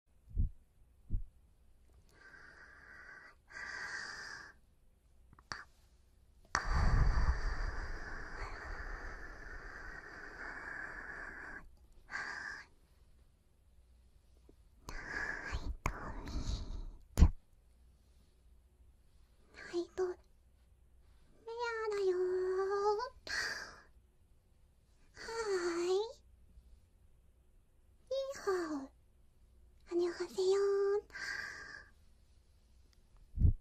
はイト…レアだよーーい。ニーハオ。はにょはせよー。オ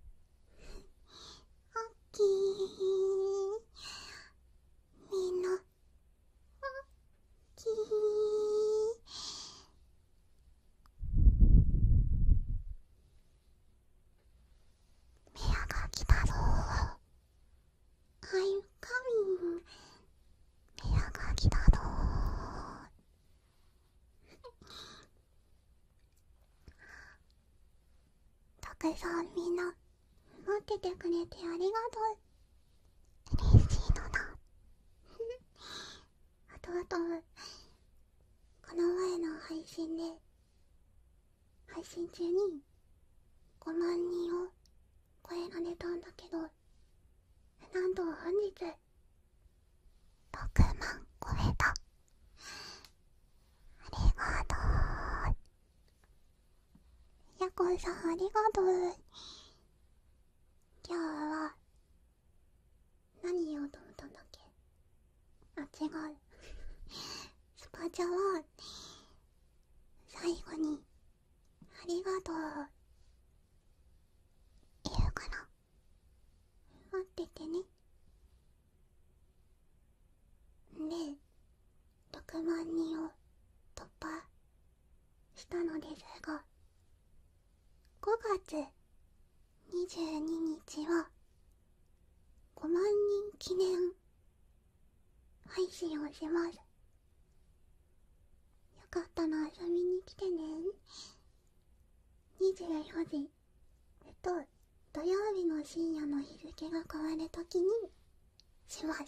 ッケー。みんな、オッケー。メアが来たぞ I'm c o m アが来だどたくさんみんな待っててくれてありがとう嬉しいのだふふ、あとあとこの前の配信で配信中に5万人を超えられたんだけどなんと本日6万超えたありがとうやこさんありがとう今日は何言おうと思ったんだっけあ違うスパチャは最後にありがとう言うかな。待っててねで6万人を突破したのですが5月22日は5万人記念配信をしますよかったら遊びに来てね24時えっと土曜日の深夜の日付が変わるときにしますあ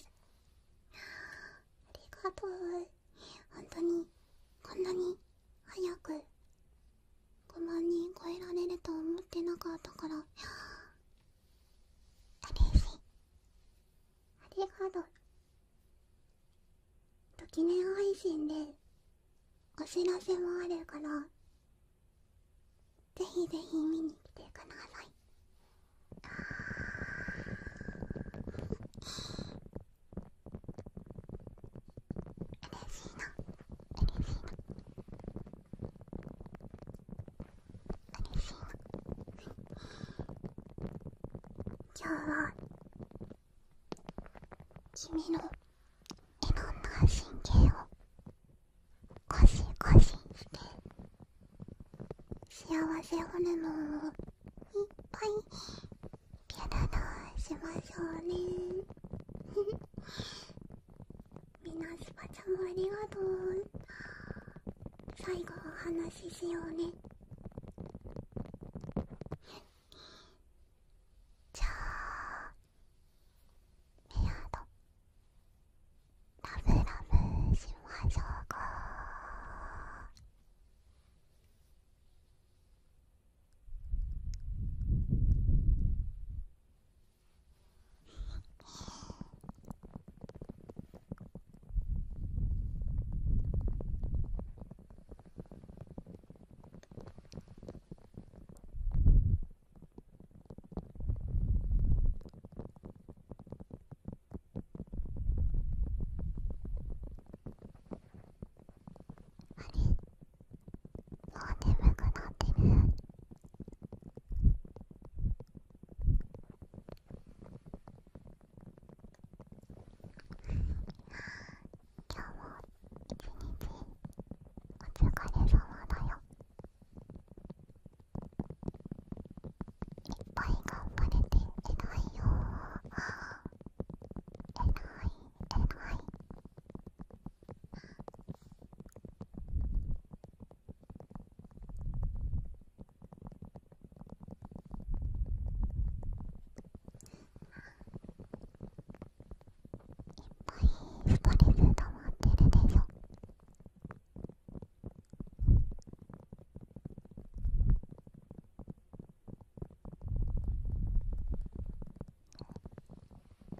りがとう本当にこんなに早く5万人超えられると思ってなかったから嬉しいありがとうときめ配信でお知らせもあるからぜひぜひ見に来てくださいあ嬉しいな嬉しいな嬉しい今日は君のいろんな神経をコシコシして幸せホルモンをいっぱいピュララしましょうねみなしちゃんありがとう最後お話ししようねじゃあメアドラブラブしましょうかあれ、もう眠くなってる今日は一日お疲れ様だよいっぱい頑張れていないよ偉い偉いいっぱいストレス溜まってるでしょ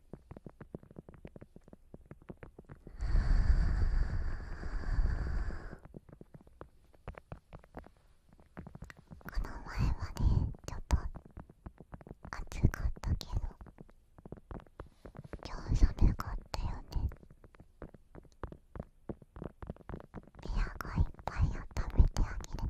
はこの前はねちょっと暑かったけど今日寒かったよねビアがいっぱい温めてあげる。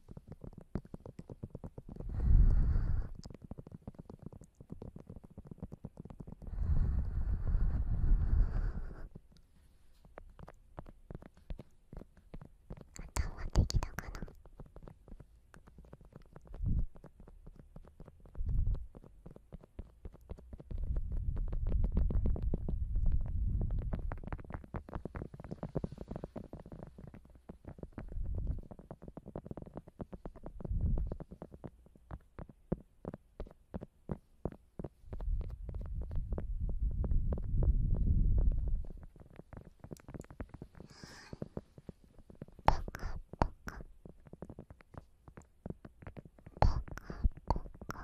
頭できたかなカポカ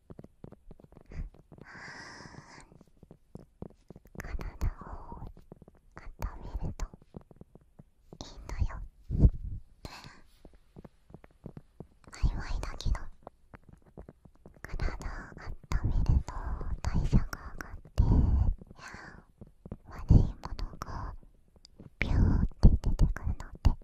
体を温めるといいんだよ曖いだけど体を温めると代謝が上がって悪いものがビューって出てくるので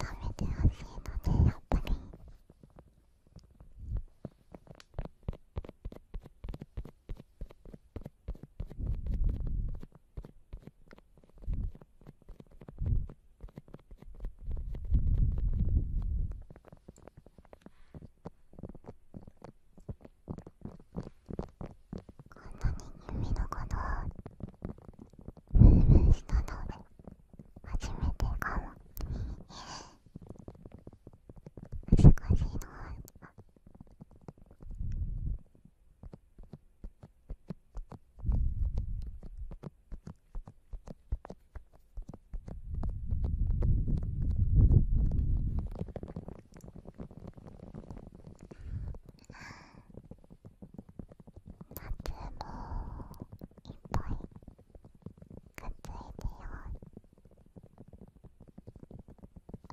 温めてほしいので、やっぱに耳のことをムームーしたので初めてかも難しいのは。あ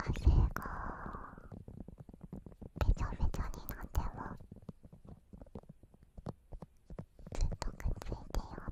汗がべちょべちょになってもずっとくっついてよあ